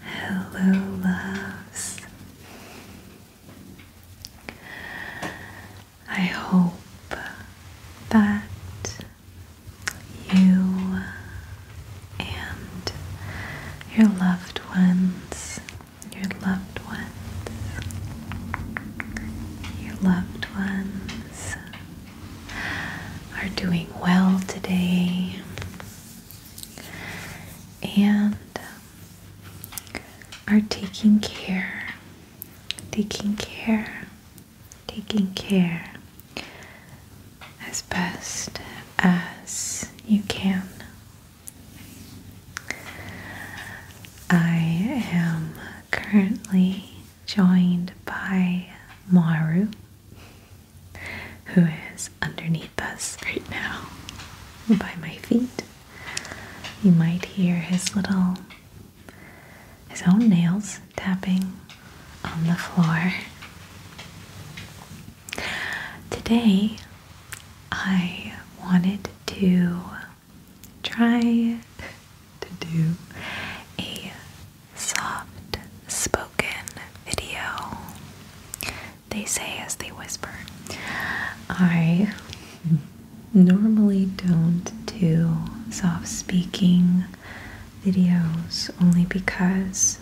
Hello, loves. I hope that you and your loved ones, your loved ones, your loved ones are doing well today and um, are taking care, taking care, taking care as best as you can. I am currently joined by Maru who is underneath us right now by my feet. You might hear his little, his own nails tapping on the floor. Today, I wanted to try to do a soft spoken video, they say as they whisper. I normally don't do soft speaking videos only because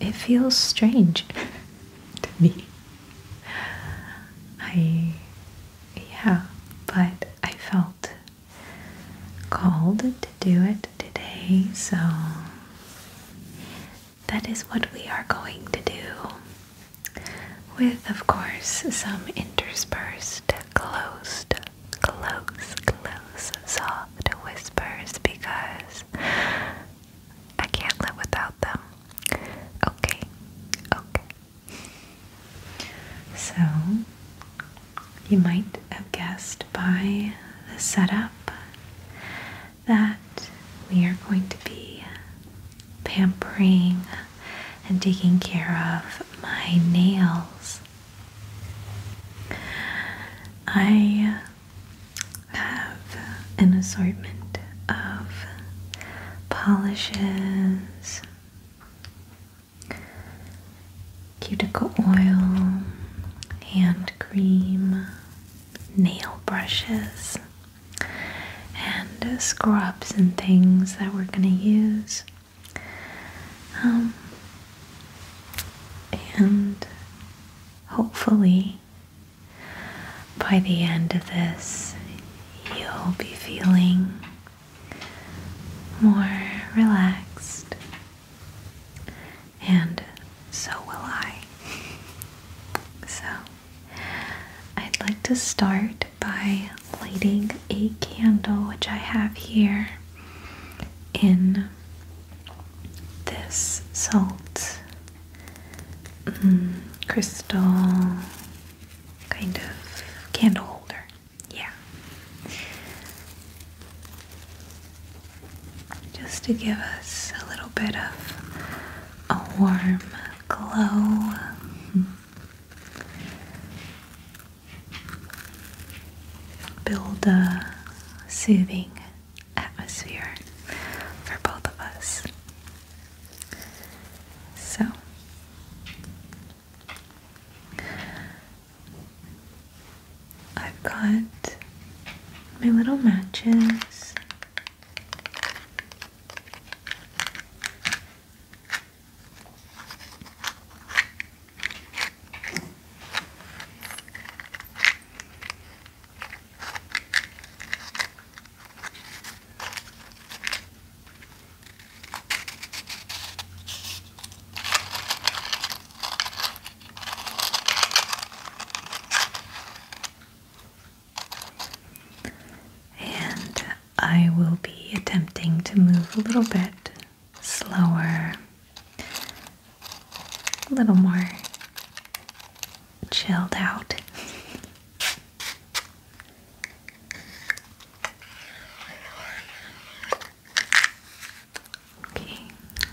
it feels strange to me. I, yeah, but I felt called do it today, so that is what we are going to do. With, of course, some interspersed, closed, close, close, soft whispers because I can't live without them. Okay, okay. So, you might have guessed by the setup that we are going to be pampering and taking care of my nails. I have an assortment of polishes cuticle oil, hand cream, nail brushes, and scrubs and things that we're going to use. Um, and hopefully, by the end of this, you'll be feeling more relaxed and so will I. So, I'd like to start by lighting a candle, which I have here in this salt mm, crystal kind of candle holder. Yeah just to give us a little bit of a warm glow. Build a soothing atmosphere for both of us. So, I've got my little matches. And I will be attempting to move a little bit slower, a little more chilled out. Okay,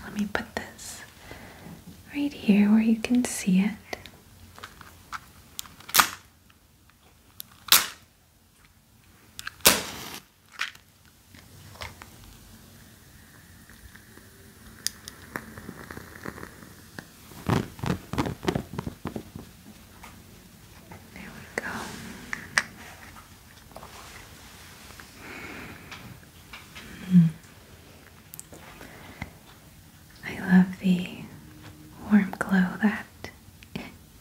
let me put this right here where you can see it. There we go. Hmm. I love the warm glow that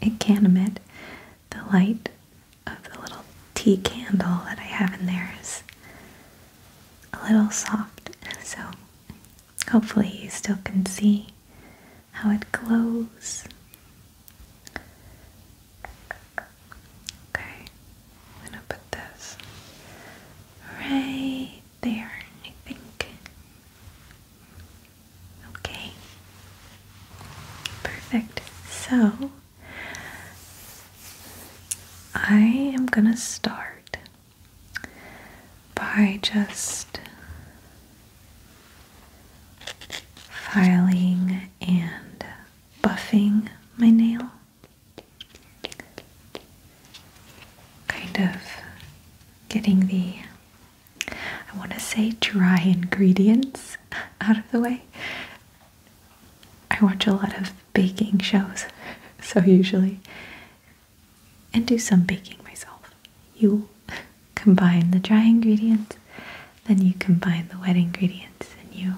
it can emit. The light of the little tea candle that I have in there is a little soft, so hopefully you still can see how it glows Okay, I'm gonna put this right there, I think. Okay, perfect. So I am gonna start by just filing and buffing my nail. Kind of getting the, I want to say, dry ingredients out of the way. I watch a lot of baking shows, so usually, and do some baking myself. You combine the dry ingredients, then you combine the wet ingredients, and you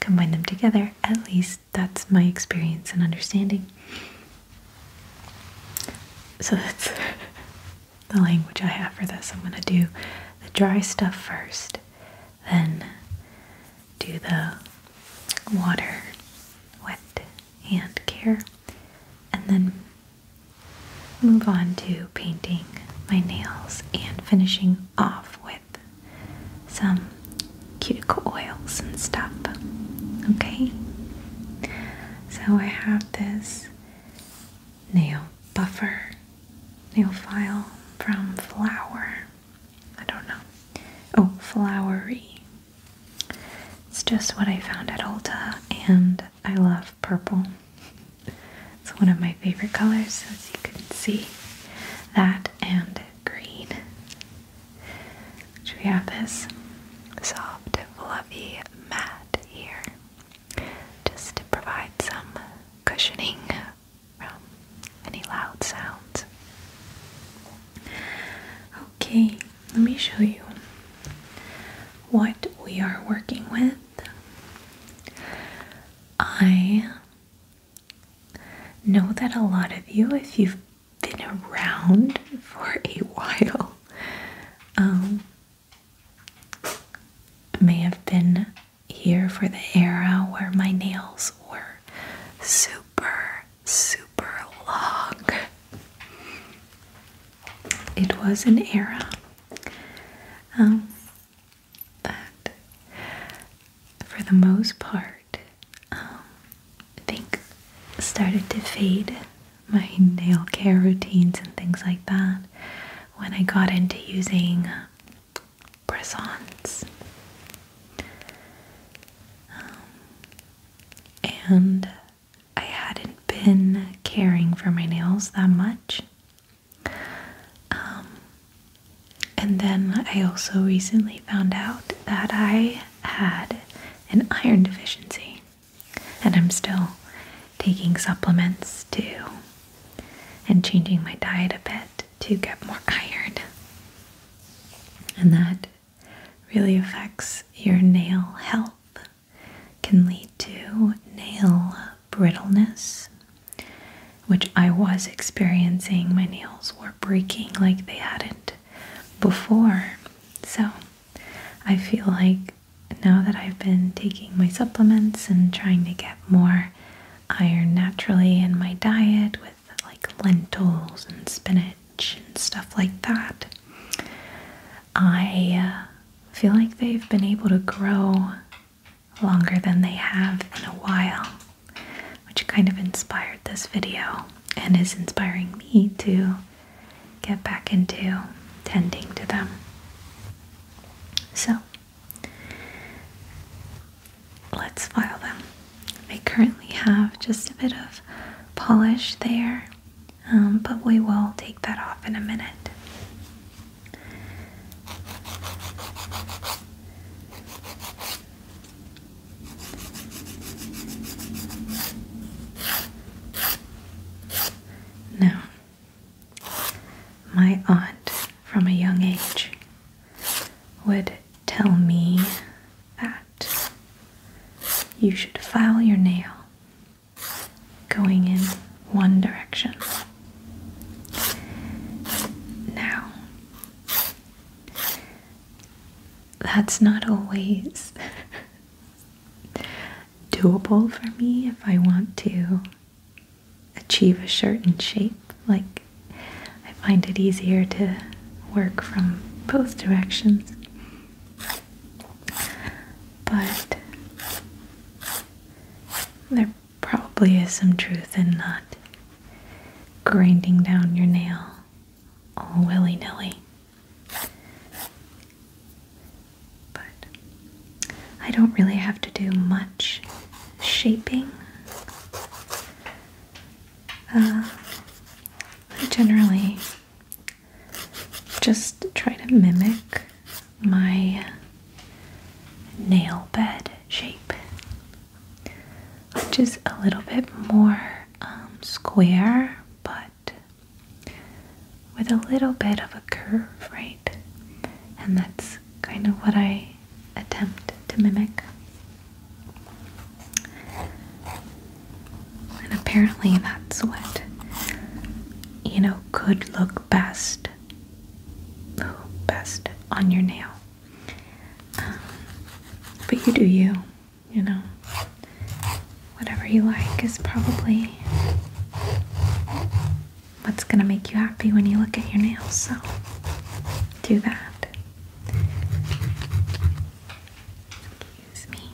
combine them together. At least that's my experience and understanding. So that's the language I have for this. I'm going to do the dry stuff first, then do the water, wet hand care, and then move on to painting my nails and finishing off with some cuticle oils and stuff. Okay? So I have this nail buffer, nail file from Flower. I don't know. Oh, Flowery. It's just what I found at Ulta, and I love purple. It's one of my favorite colors, as you can see. That and green. So we have this soft, fluffy mat here, just to provide some cushioning from any loud sounds. Okay, let me show you what we are working with. I know that a lot of you, if you've been around for a while, um, may have been here for the era where my nails were super, super long. It was an era. Um, that for the most part, um, I think started to fade my nail care routines and things like that when I got into using uh, press um, and I hadn't been caring for my nails that much um, and then I also recently found out that I had an iron deficiency, and I'm still taking supplements too and changing my diet a bit to get more iron. And that really affects your nail health, can lead to nail brittleness, which I was experiencing. My nails were breaking like they hadn't before. So I feel like now that I've been taking my supplements and trying to get more iron naturally in my diet with like lentils and spinach and stuff like that, I uh, feel like they've been able to grow longer than they have in a while, which kind of inspired this video and is inspiring me to get back into tending to them. So, let's file them. I currently have just a bit of polish there, um, but we will take that off in a minute. Now, my aunt from a young age would tell me that you should file your nail going in one direction. Now, that's not always doable for me if I want to achieve a certain shape. Like, I find it easier to work from both directions. But they're probably is some truth in not grinding down your nail all willy nilly. But I don't really have to do much shaping. Uh, I generally just try to mimic my nail bed shape, which is a little bit more um, square but with a little bit of a curve, right? And that's kind of what I attempt to mimic. And apparently, that's what you know could look best best on your nail um, but you do you you know whatever you like is probably what's gonna make you happy when you look at your nails so do that excuse me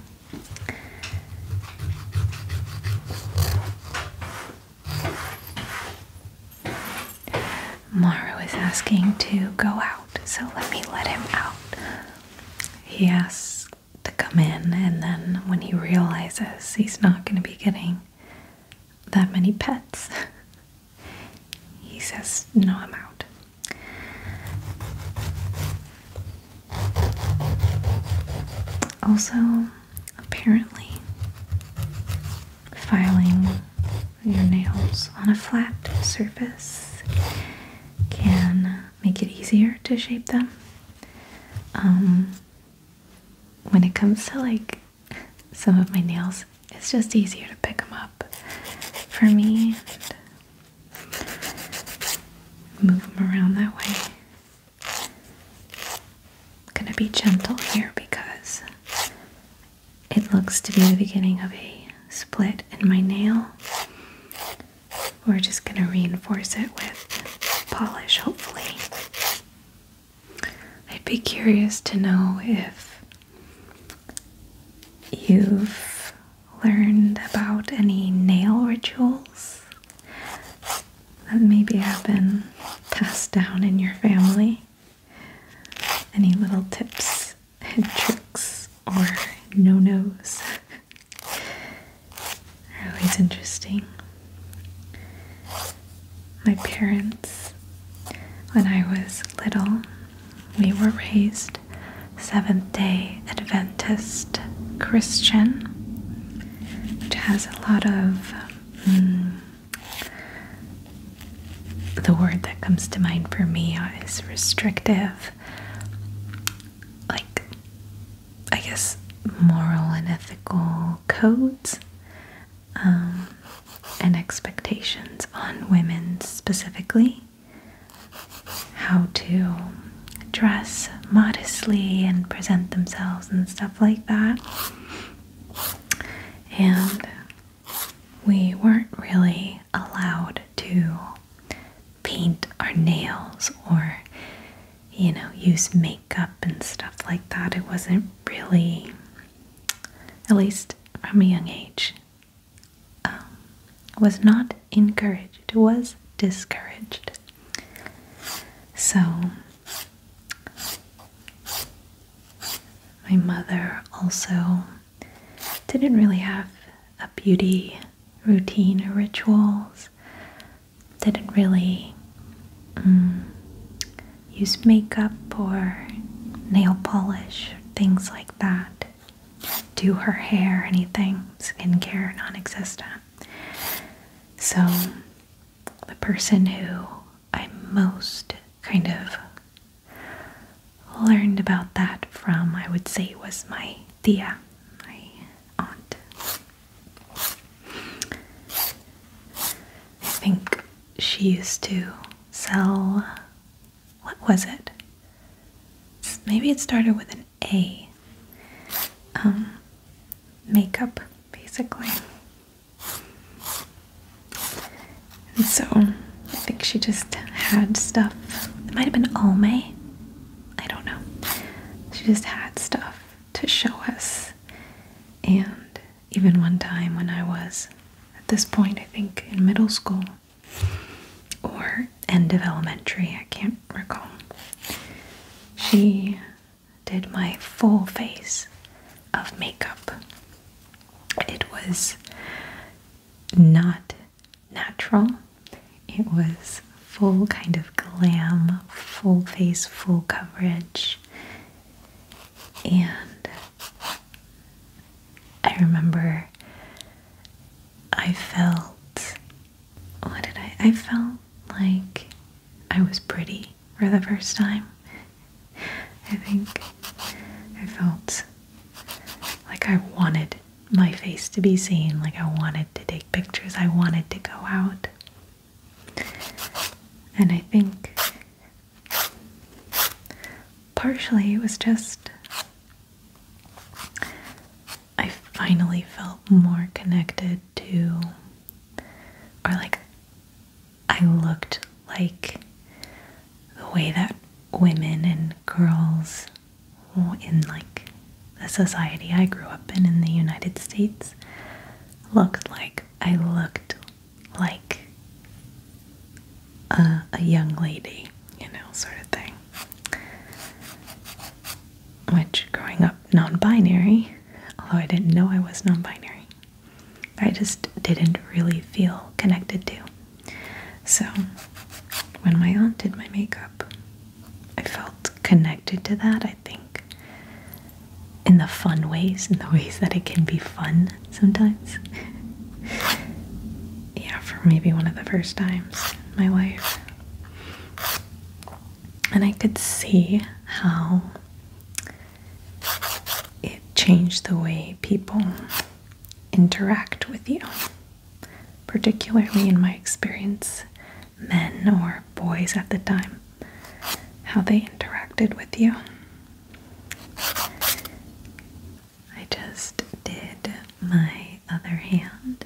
Mara is asking to go out, so let me let him out. He asks to come in, and then when he realizes he's not going to be getting that many pets, he says, No, I'm out. Also, apparently filing your nails on a flat surface can make it easier to shape them. Um, when it comes to like some of my nails, it's just easier to pick them up for me move them around that way. I'm gonna be gentle here because it looks to be the beginning of a split in my nail. We're just gonna reinforce it with polish, hopefully. I'd be curious to know if you've learned about any nail rituals that maybe have been passed down in your family? Any little tips and tricks or no nos? are always interesting. My parents, when I was little, we were raised Seventh day Adventist Christian, which has a lot of mm, the word that comes to mind for me is restrictive. Like, I guess, moral and ethical codes um, and expectations on women specifically. How to dress modestly and present themselves and stuff like that and we weren't really allowed to paint our nails or, you know, use makeup and stuff like that. It wasn't really, at least from a young age, um, was not encouraged, was discouraged. So my mother also didn't really have a beauty routine or rituals, didn't really mm, use makeup or nail polish, things like that. Do her hair, anything, skincare non existent. So, the person who I most kind of learned about that from, I would say, was my Thea, my aunt. I think she used to sell, what was it? Maybe it started with an A. Um, makeup, basically. And so I think she just had stuff. It might have been Almay. I don't know. She just had stuff to show us. And even one time when I was at this point, I think in middle school or end of elementary, I can't recall, she did my full face of makeup. It was not natural, it was full kind of glam, full face, full coverage. And I remember I felt, what did I? I felt like I was pretty for the first time. I think I felt like I wanted my face to be seen, like I wanted to take pictures, I wanted to go out. And I think partially it was just I finally felt more connected to, or like I looked like the way that women and girls in like the society I grew up in in the United States looked like. I looked like a, young lady, you know, sort of thing. Which, growing up non binary, although I didn't know I was non binary, I just didn't really feel connected to. So when my aunt did my makeup, I felt connected to that, I think, in the fun ways, in the ways that it can be fun sometimes. yeah, for maybe one of the first times in my life. And I could see how it changed the way people interact with you, particularly in my experience, men or boys at the time, how they interacted with you. I just did my other hand,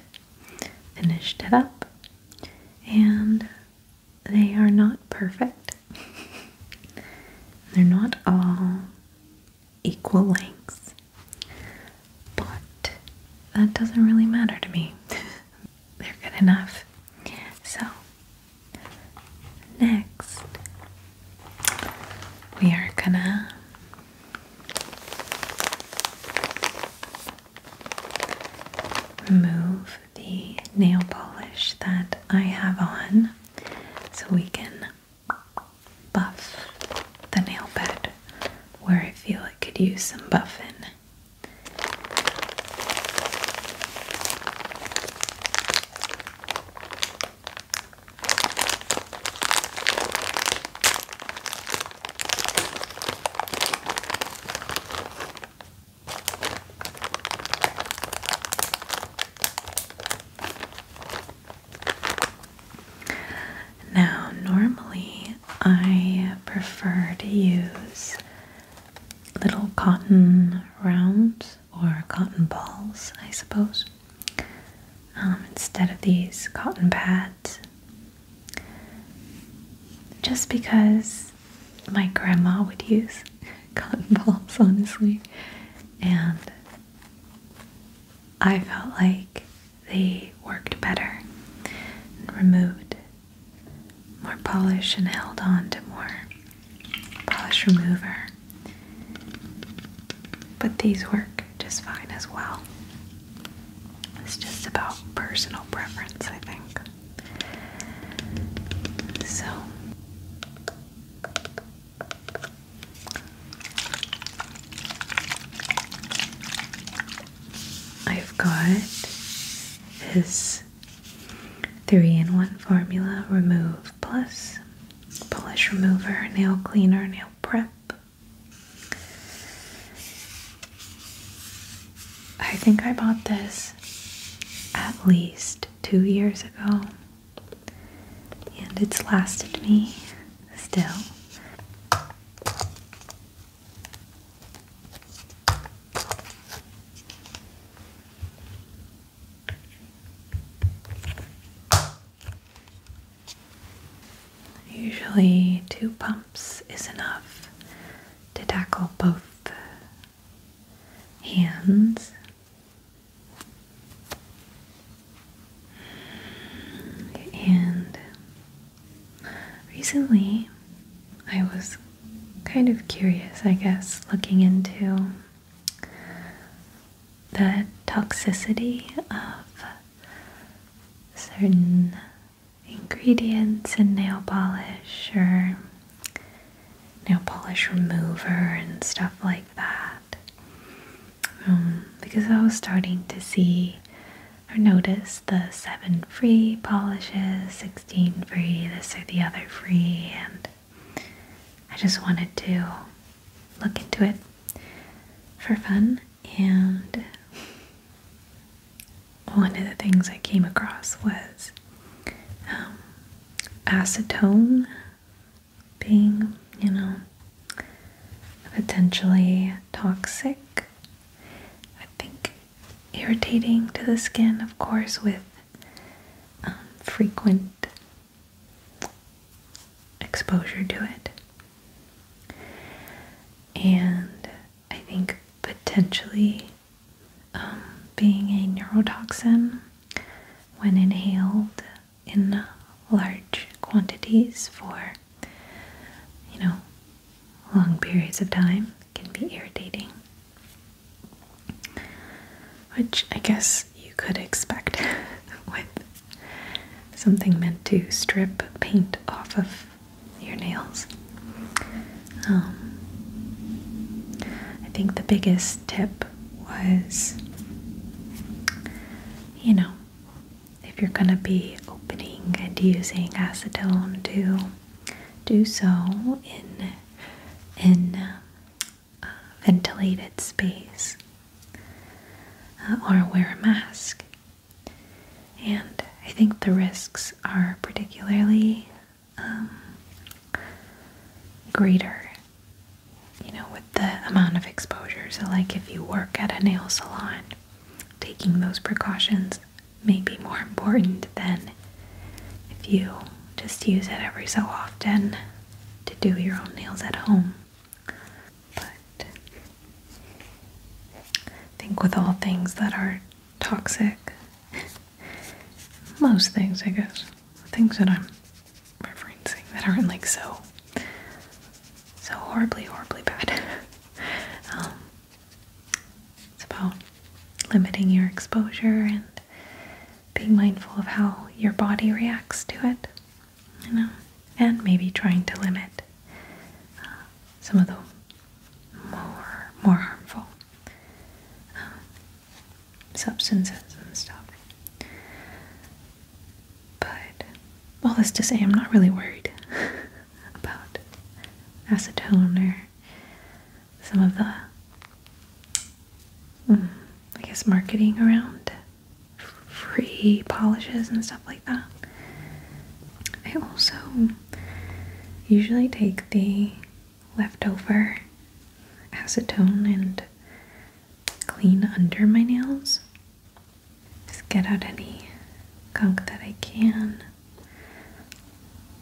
finished it up, and they are not perfect. They're not all equal lengths. But that doesn't really matter to me. They're good enough. So, next, we are gonna move the nail polish that I have on so we can buff the nail bed where I feel I could use some buffing. Now, normally I prefer to use little cotton rounds or cotton balls, I suppose, um, instead of these cotton pads. Just because my grandma would use cotton balls, honestly. And I felt like they worked better and removed more polish and held on to more polish remover. But these work just fine as well. It's just about personal preference, I think. So I've got this three in one formula remove plus polish remover, nail cleaner, nail prep. I think I bought this at least two years ago, and it's lasted me still. Usually, two pumps is enough to tackle both hands. And recently I was kind of curious, I guess, looking into the toxicity of certain ingredients in nail polish or nail polish remover and stuff like that. Um, because I was starting to see or notice the 7 free polishes, 16 free, this or the other free, and I just wanted to look into it for fun and one of the things I came across was um, acetone being, you know, potentially toxic. I think irritating to the skin, of course, with um, frequent exposure to it. And I think potentially um, being a neurotoxin when inhaled in large quantities for you know long periods of time can be irritating which i guess you could expect with something meant to strip paint off of your nails um, I think the biggest tip was you know, if you're going to be opening and using acetone to do so in in a uh, ventilated space uh, or wear a mask. And I think the risks are particularly um, greater, you know, with the amount of exposures. like if you work at a nail salon, taking those precautions may be more important than if you just use it every so often to do your own nails at home. But I think with all things that are toxic. Most things, I guess. Things that I'm referencing that aren't like so, so horribly, horribly bad. Um, it's about limiting your exposure and being mindful of how your body reacts to it, you know, and maybe trying to limit uh, some of the more more harmful um, substances and stuff. But all this to say, I'm not really worried about acetone or some of the, mm, I guess, marketing around free polishes and stuff like that. I also usually take the leftover acetone and clean under my nails. Just get out any gunk that I can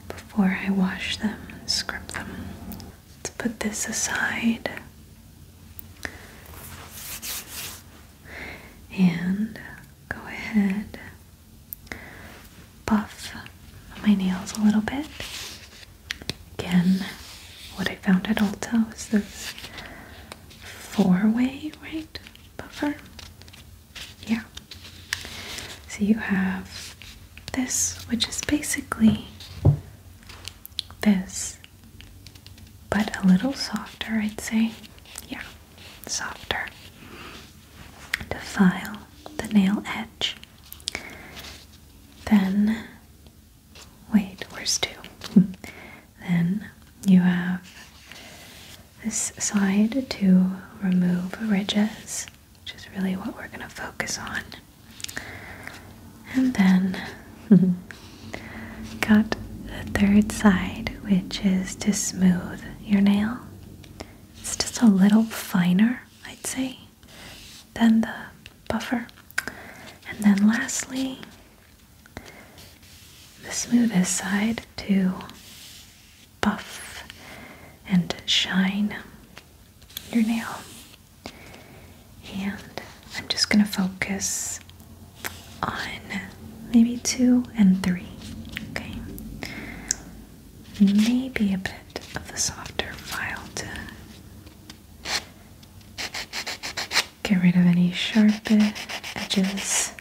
before I wash them and scrub them. Let's put this aside. And go ahead buff my nails a little bit. Again, what I found at Ulta was this four-way, right, buffer? Yeah. So you have this, which is basically this, but a little softer, I'd say. Yeah, softer. To file the nail edge then, wait, where's two? then you have this side to remove ridges, which is really what we're going to focus on. And then got the third side, which is to smooth your nail. It's just a little finer I'd say, then the buffer. And then lastly, the smoothest side to buff and shine your nail. And I'm just going to focus on maybe two and three. Okay maybe a bit of the softer file to get rid of any sharper edges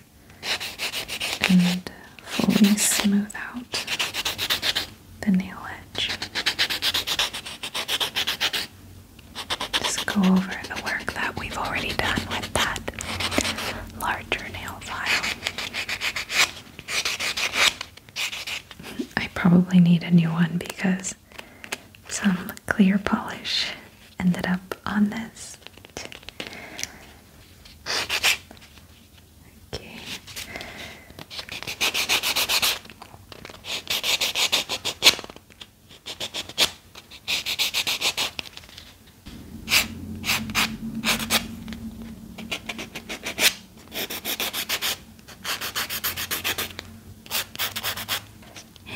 and fully smooth out the nail edge. Just go over the work that we've already done with that larger nail file. I probably need a new one because some clear polish ended up on this. Okay.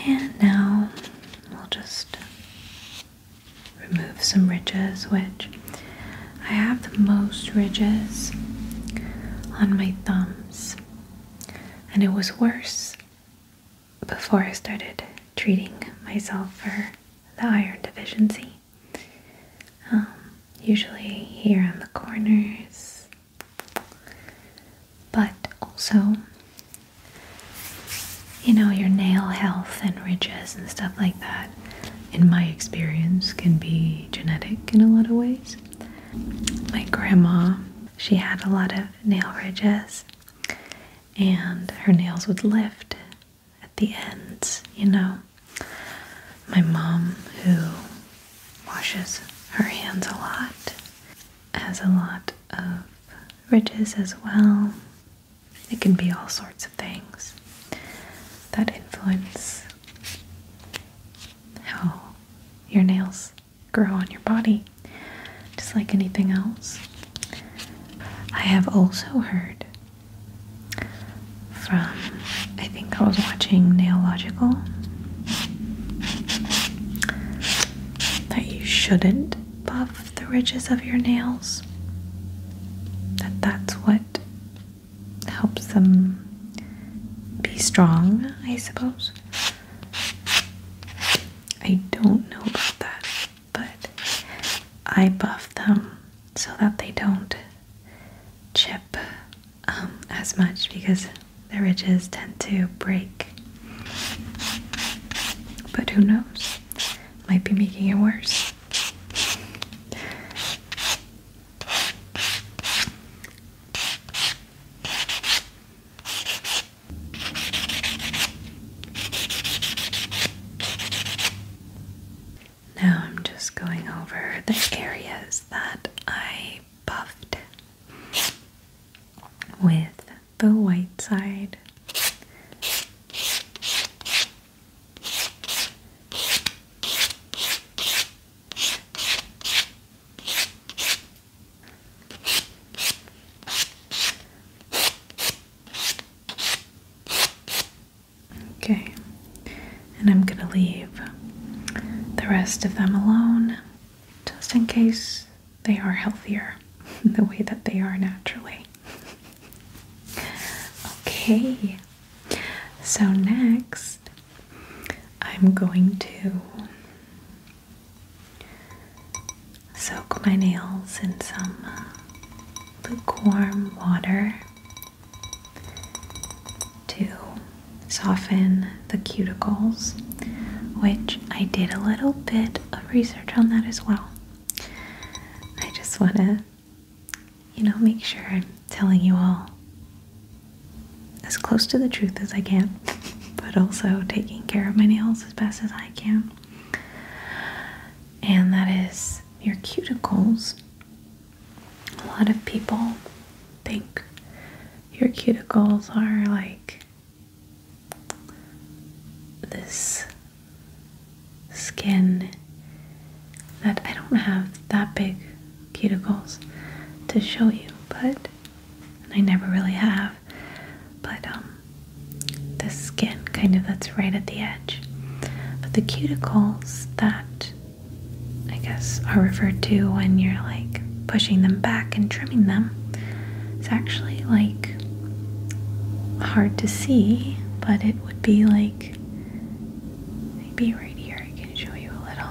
And now we'll just remove some ridges, which I have the most ridges on my thumbs, and it was worse before I started treating myself for the iron deficiency. Um, usually here on the corners, but also, you know, your nail health and ridges and stuff like that, in my experience, can be genetic in a lot of ways. My grandma, she had a lot of nail ridges, and her nails would lift at the end, you know. My mom, who washes her hands a lot, has a lot of ridges as well. It can be all sorts of things that influence how your nails grow on your body, just like anything else. I have also heard from I think I was watching Neological that you shouldn't buff the ridges of your nails that that's what helps them be strong, I suppose. I don't know about that, but I buff them so that they don't chip um, as much because the ridges tend to break. But who knows? Might be making it worse. Now I'm just going over the areas that I buffed with the white side. Okay, and I'm gonna leave the rest of them alone just in case they are healthier the way that they are naturally. okay, so next I'm going to soak my nails in some lukewarm water to soften the cuticles, which I did a little bit of research on that as well. I just want to, you know, make sure I'm telling you all as close to the truth as I can, but also taking care of my nails as best as I can. And that is your cuticles a lot of people think your cuticles are like this skin that I don't have that big cuticles to show you, but I never really have. But um, the skin kind of that's right at the edge. But the cuticles that I guess, are referred to when you're like pushing them back and trimming them. It's actually like hard to see, but it would be like maybe right here. I can show you a little.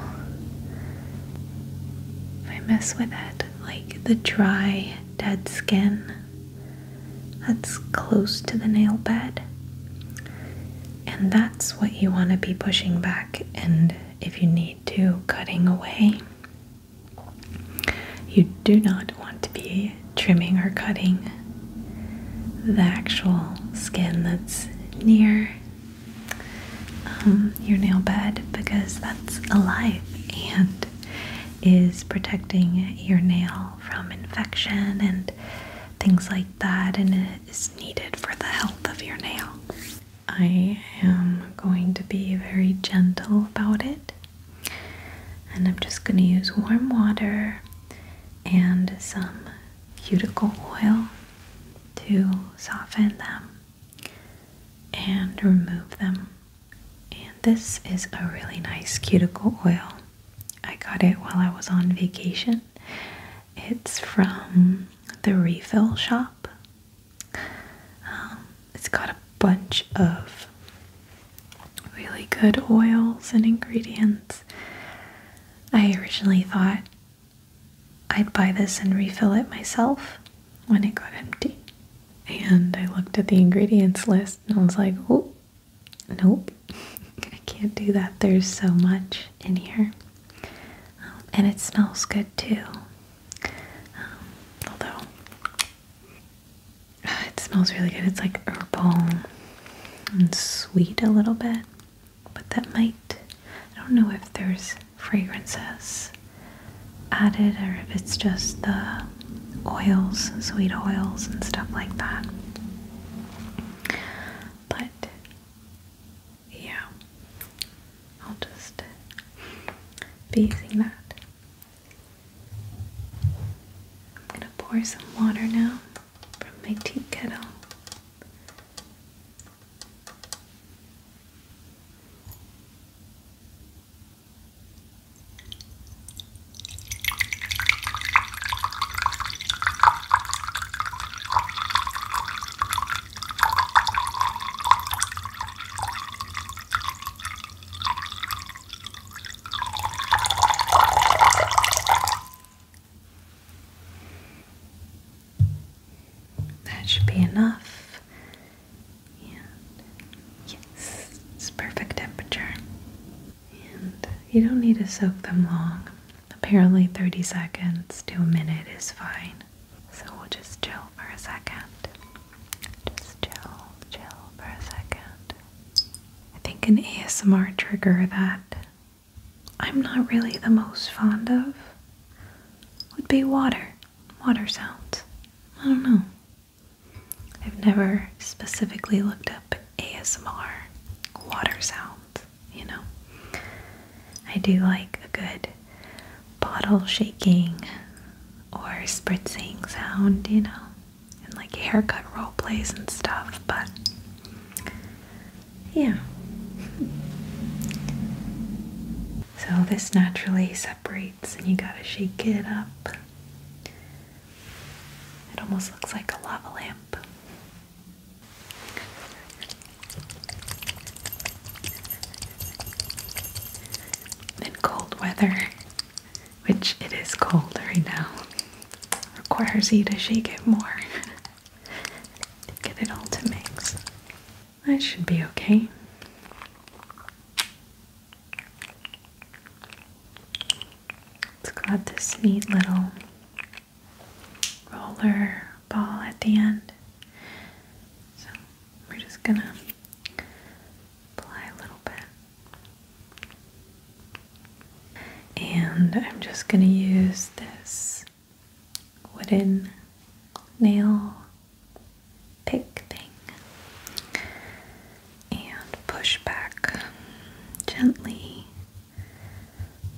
If I mess with it, like the dry, dead skin that's close to the nail bed. And that's what you want to be pushing back, and if you need to, cutting away. You do not want to be trimming or cutting the actual skin that's near um, your nail bed because that's alive and is protecting your nail from infection and things like that, and it is needed for the health of your nail. I am going to be very gentle about it, and I'm just going to use warm water and some cuticle oil to soften them and remove them. And this is a really nice cuticle oil. I got it while I was on vacation. It's from the refill shop. Um, it's got a bunch of really good oils and ingredients. I originally thought I'd buy this and refill it myself when it got empty. And I looked at the ingredients list and I was like, oh, Nope, I can't do that. There's so much in here. Um, and it smells good too. Um, although, it smells really good. It's like herbal and sweet a little bit. But that might, I don't know if there's fragrances added or if it's just the oils, sweet oils, and stuff like that but yeah, I'll just be using that. I'm gonna pour some water now from my tea kettle. That should be enough. yes, it's perfect temperature. And you don't need to soak them long. Apparently 30 seconds to a minute is fine. So we'll just chill for a second. Just chill, chill for a second. I think an ASMR trigger that I'm not really the most fond of would be water. Water sounds. I don't know. I've never specifically looked up ASMR water sounds you know? I do like a good bottle shaking or spritzing sound, you know? And like haircut role plays and stuff, but yeah. So this naturally separates and you gotta shake it up. It almost looks like a lava lamp. In cold weather, which it is cold right now, requires you to shake it more to get it all to mix. That should be okay. It's got this neat little roller ball at the end. So we're just gonna apply a little bit. And I'm just gonna use this wooden nail pick thing and push back gently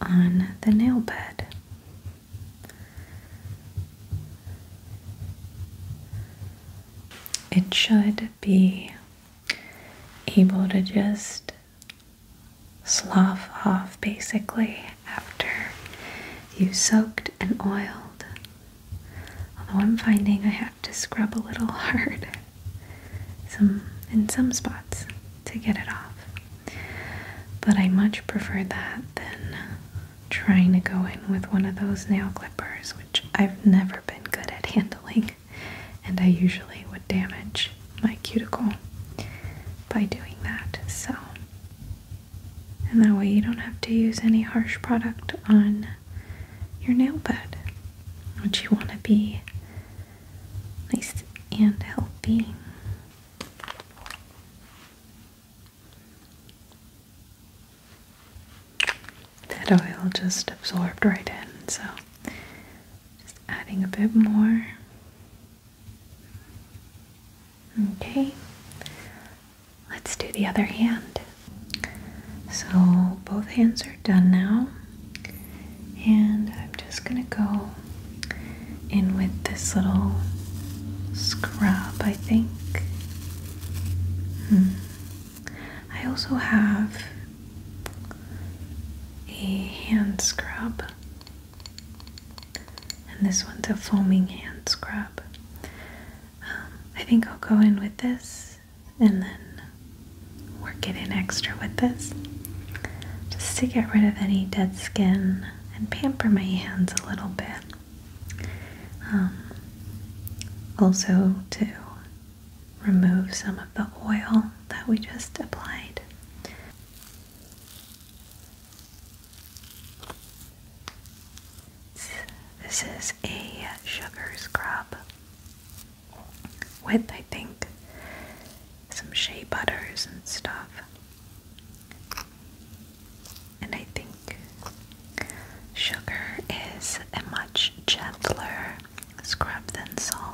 on the nail bed. It should be able to just slough off basically after you soaked and oiled. Although I'm finding I have to scrub a little hard some in some spots to get it off. But I much prefer that than trying to go in with one of those nail clippers, which I've never been good at handling, and I usually would damage my cuticle by doing that. So, and that way you don't have to use any harsh product on your nail bed, which you want to be nice and healthy. That oil just absorbed right in, so just adding a bit more. Okay, let's do the other hand. So, both hands are done now. And I'm just going to go in with this little scrub, I think. Hmm. I also have a hand scrub, and this one's a foaming hand scrub. Um, I think I'll go in with this and then work it in extra with this just to get rid of any dead skin and pamper my hands a little bit. Um, also, to remove some of the oil that we just applied. This is a sugar scrub with I think some shea butters and stuff. And I think sugar is a much gentler scrub than salt.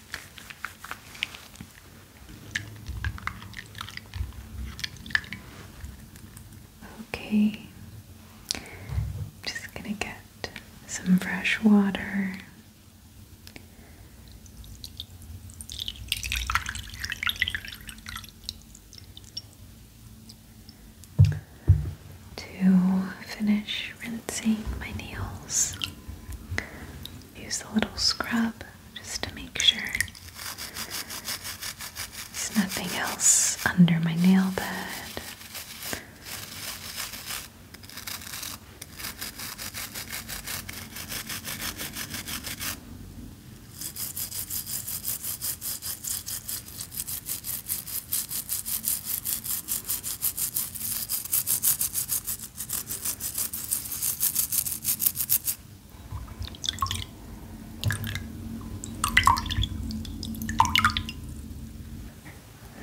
Okay, just gonna get some fresh water. To finish rinsing my nails, use the little scrub just to make sure there's nothing else under my nail bed.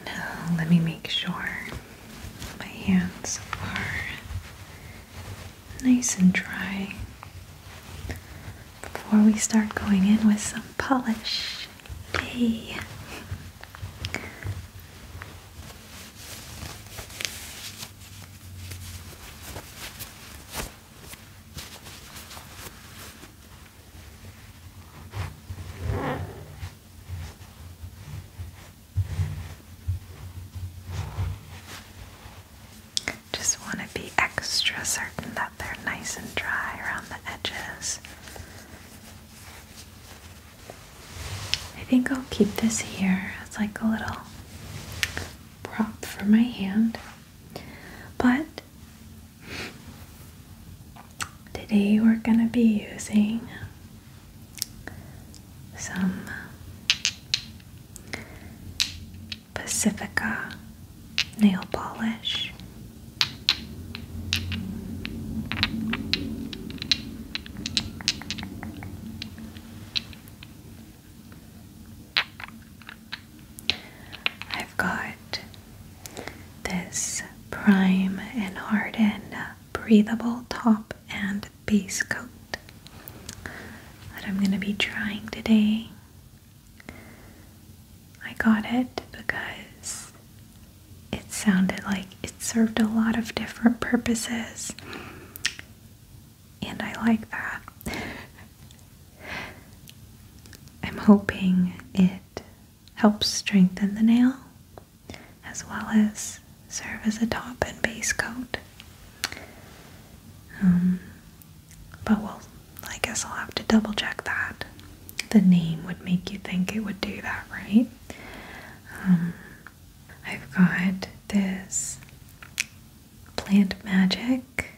Now, let me make sure my hands are nice and dry before we start going in with some polish. Yay! Just want to be extra certain that they're nice and dry around the edges. I think I'll keep this here as like a little prop for my hand. But today we're going to be using some Pacifica nail polish. I've got this prime and harden uh, breathable top and base coat that I'm going to be trying today. I got it because it sounded like it served a lot of different purposes, and I like that. I'm hoping it helps strengthen the nail as well as serve as a top and base coat. Um, but we'll, I guess I'll have to double check that. The name would make you think it would do that, right? Um, I've got this Plant Magic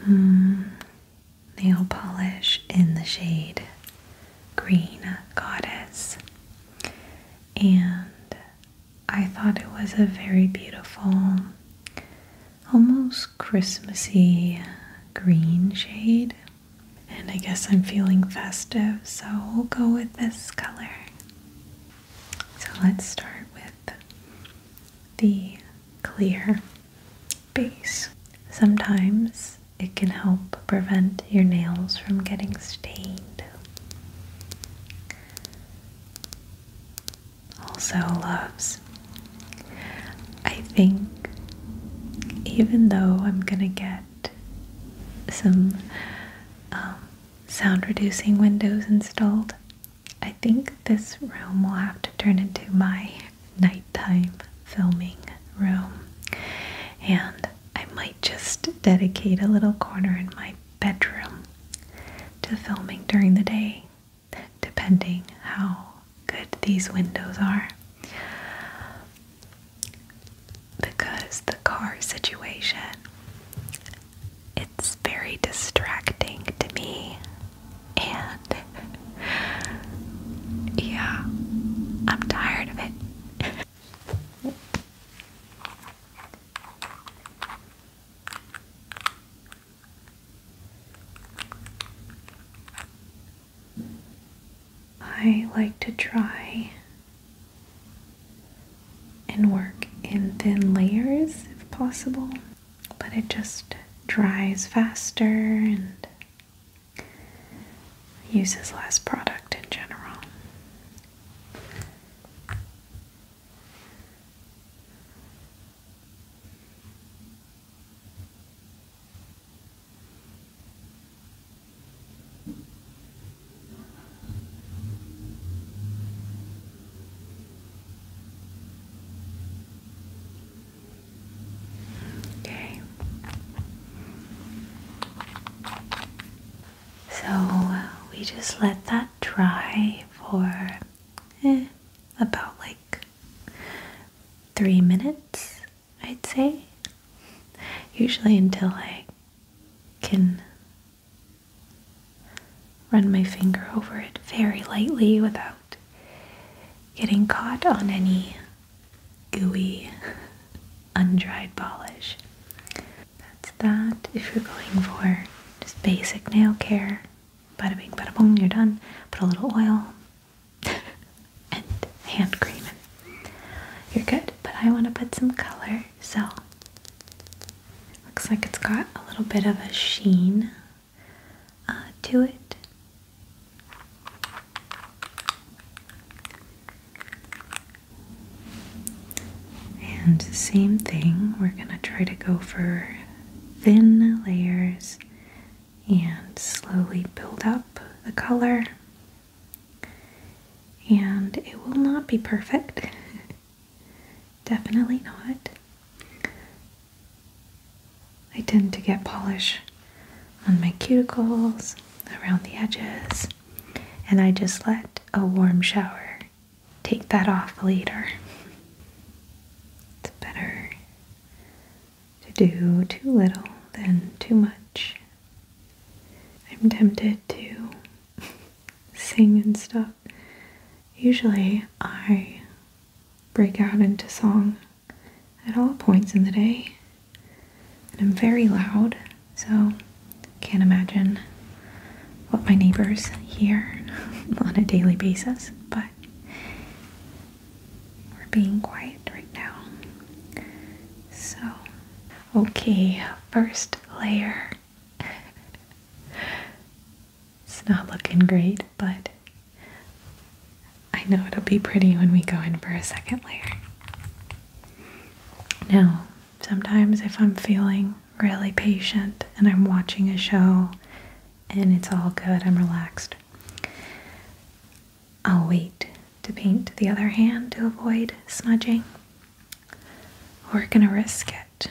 mm, nail polish in the shade Green Goddess. And I thought it was a very beautiful, almost Christmassy green shade. And I guess I'm feeling festive, so we'll go with this color. So let's start with the clear base. Sometimes it can help prevent your nails from getting stained. Also, loves, I think even though I'm gonna get some um, sound reducing windows installed. I think this room will have to turn into my nighttime filming room, and I might just dedicate a little corner in my bedroom to filming during the day, depending how good these windows are because the car situation it's very distracting to me and yeah I'm tired of it I like to try and work in thin layers if possible, but it just dries faster and uses less product in general. Okay. So we just let that dry for eh, about like three minutes I'd say. Usually until I can run my finger over it very lightly without getting caught on any gooey, undried polish. That's that. If you're going for just basic nail care, bada bing, bada boom, you're done. Put a little oil. and hand cream you're good. But I want to put some color, so looks like it's got a little bit of a sheen uh, to it. And same thing, we're going to try to go for thin layers and slowly build up the color and it will not be perfect. Definitely not. I tend to get polish on my cuticles, around the edges, and I just let a warm shower take that off later. It's better to do too little than too much. I'm tempted to sing and stuff. Usually I break out into song at all points in the day. And I'm very loud, so can't imagine what my neighbors hear on a daily basis, but we're being quiet right now. So Okay, first layer. it's not looking great, but I know it'll be pretty when we go in for a second layer. Now, sometimes if I'm feeling really patient and I'm watching a show and it's all good, I'm relaxed. I'll wait to paint the other hand to avoid smudging. We're gonna risk it.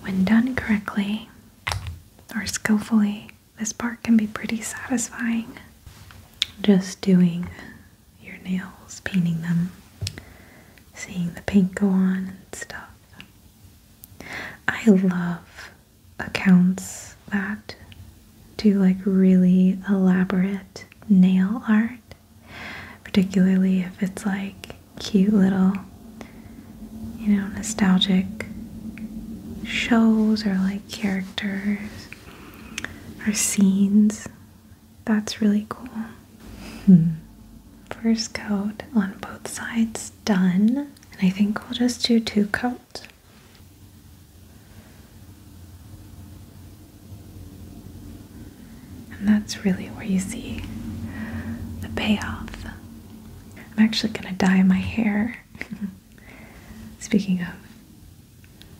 When done correctly or skillfully, this part can be pretty satisfying. Just doing your nails, painting them, seeing the paint go on and stuff. I love accounts that do like really elaborate nail art, particularly if it's like cute little, you know, nostalgic shows or like characters or scenes. That's really cool. Hmm. First coat on both sides done, and I think we'll just do two coats. And that's really where you see the payoff. I'm actually going to dye my hair. Speaking of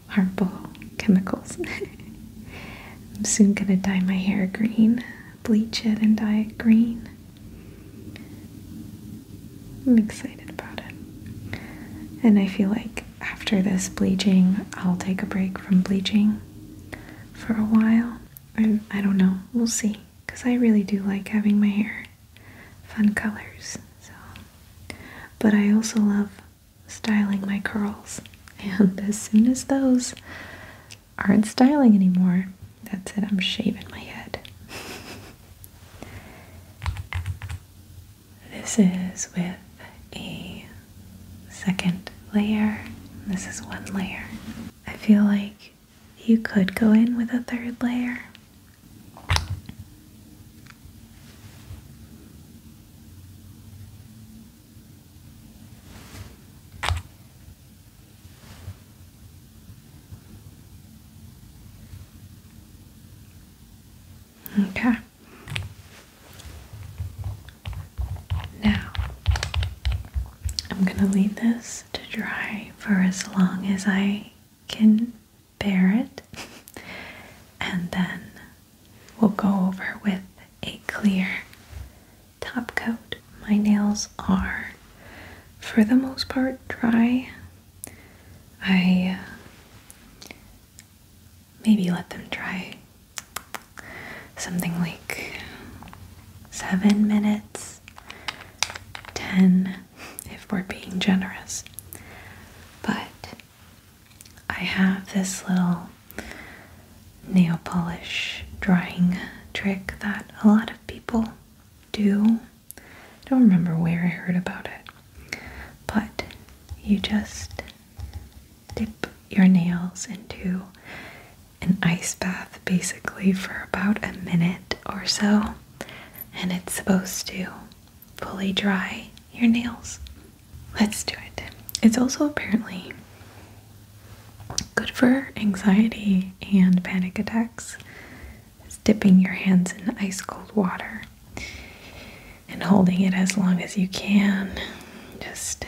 harmful chemicals, I'm soon going to dye my hair green, bleach it, and dye it green. I'm excited about it. And I feel like after this bleaching, I'll take a break from bleaching for a while. I, I don't know. We'll see. Because I really do like having my hair fun colors. So, But I also love styling my curls. And as soon as those aren't styling anymore, that's it. I'm shaving my head. This is with a second layer. This is one layer. I feel like you could go in with a third layer. Okay. Now, I'm going to leave this to dry for as long as I can bear it, and then we'll go over with a clear top coat. My nails are, for the most part, dry. I uh, maybe let them try something like seven minutes, ten, if we're being generous. But I have this little nail polish drying trick that a lot of people do. I don't remember where I heard about it. But you just dip your nails into an ice bath basically for about a minute or so, and it's supposed to fully dry your nails. Let's do it. It's also apparently good for anxiety and panic attacks. Is dipping your hands in ice cold water and holding it as long as you can just,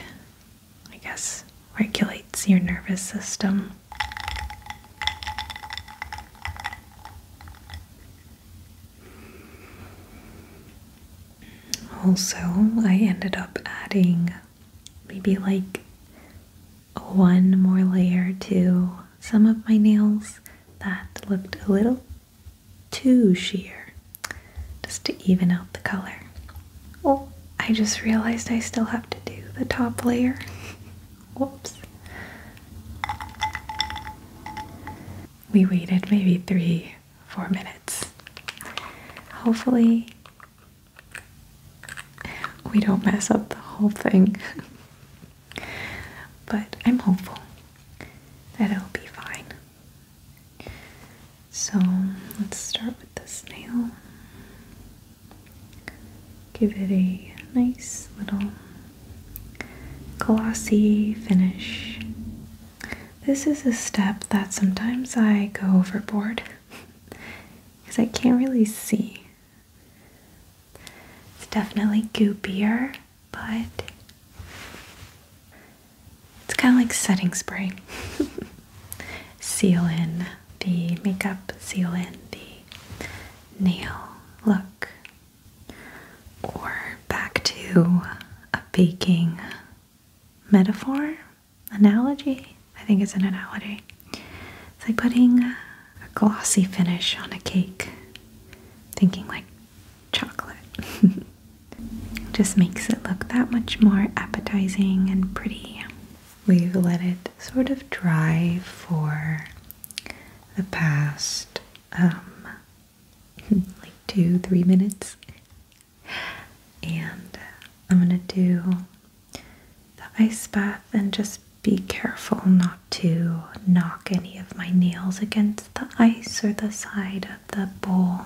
I guess, regulates your nervous system. Also, I ended up adding maybe like one more layer to some of my nails that looked a little too sheer just to even out the color. Oh, I just realized I still have to do the top layer. Whoops. We waited maybe three, four minutes. Hopefully, we don't mess up the whole thing. but I'm hopeful that will be fine. So let's start with this nail. Give it a nice little glossy finish. This is a step that sometimes I go overboard because I can't really see. It's definitely goopier but it's kind of like setting spray. seal in the makeup, seal in the nail look, or back to a baking metaphor, analogy. I think it's an analogy. It's like putting a glossy finish on a cake, thinking like chocolate. Just makes it look that much more appetizing and pretty. We've let it sort of dry for the past, um, like two, three minutes. And uh, I'm gonna do the ice bath and just be careful not to knock any of my nails against the the ice or the side of the bowl.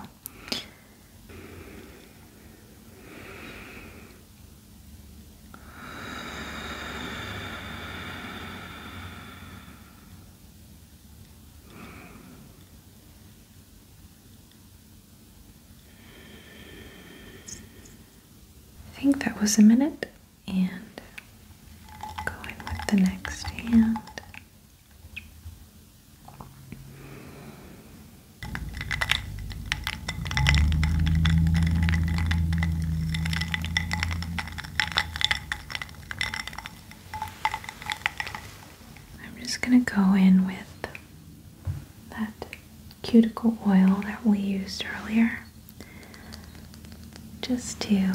I think that was a minute, and go in with the next hand. I'm just going to go in with that cuticle oil that we used earlier just to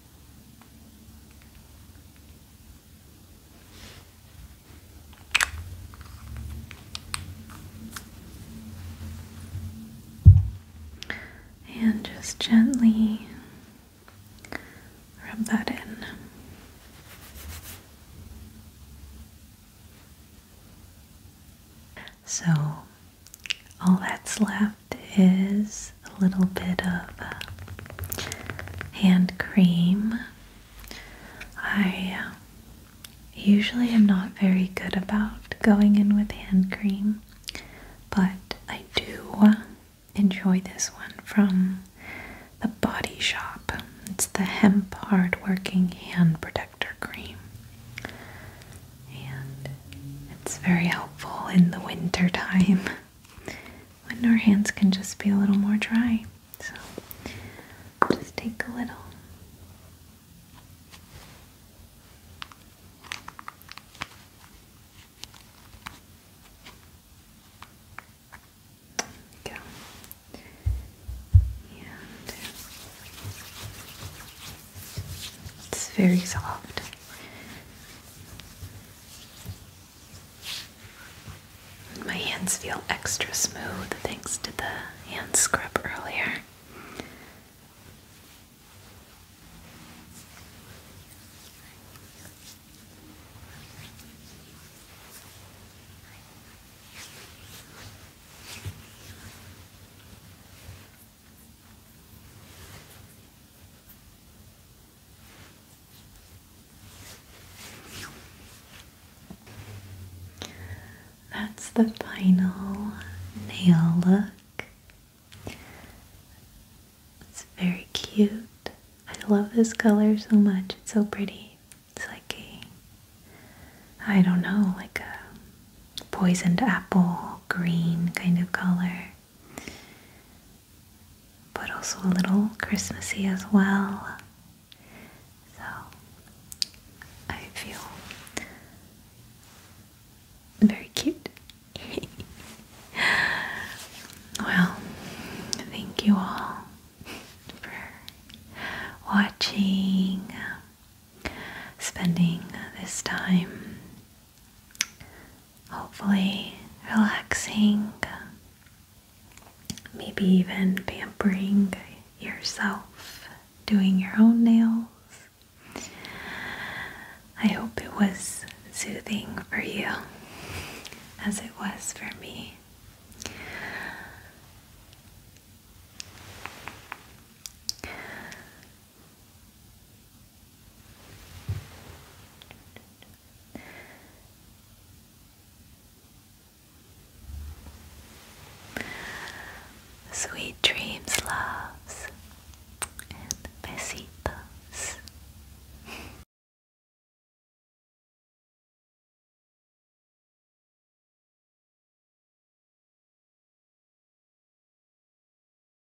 And just gently rub that in. So, all that's left is a little bit of uh, hand cream. I uh, usually am not very good about going in with hand cream, but I do uh, enjoy this one from the Body Shop. It's the Hemp Hardworking Hand Protector Cream and it's very helpful in the winter time when our hands can just be a little more dry. So just take a little. Go. And it's very soft. My hands feel extra smooth thanks to the hand scrub earlier. That's the final nail look. It's very cute. I love this color so much. It's so pretty. It's like a, I don't know, like a poisoned apple green kind of color but also a little Christmassy as well. So I feel very cute. well, thank you all for watching, spending this time hopefully relaxing, maybe even pampering yourself, doing your own nails. I hope it was soothing for you as it was for me. Sweet dreams, loves, and besitos.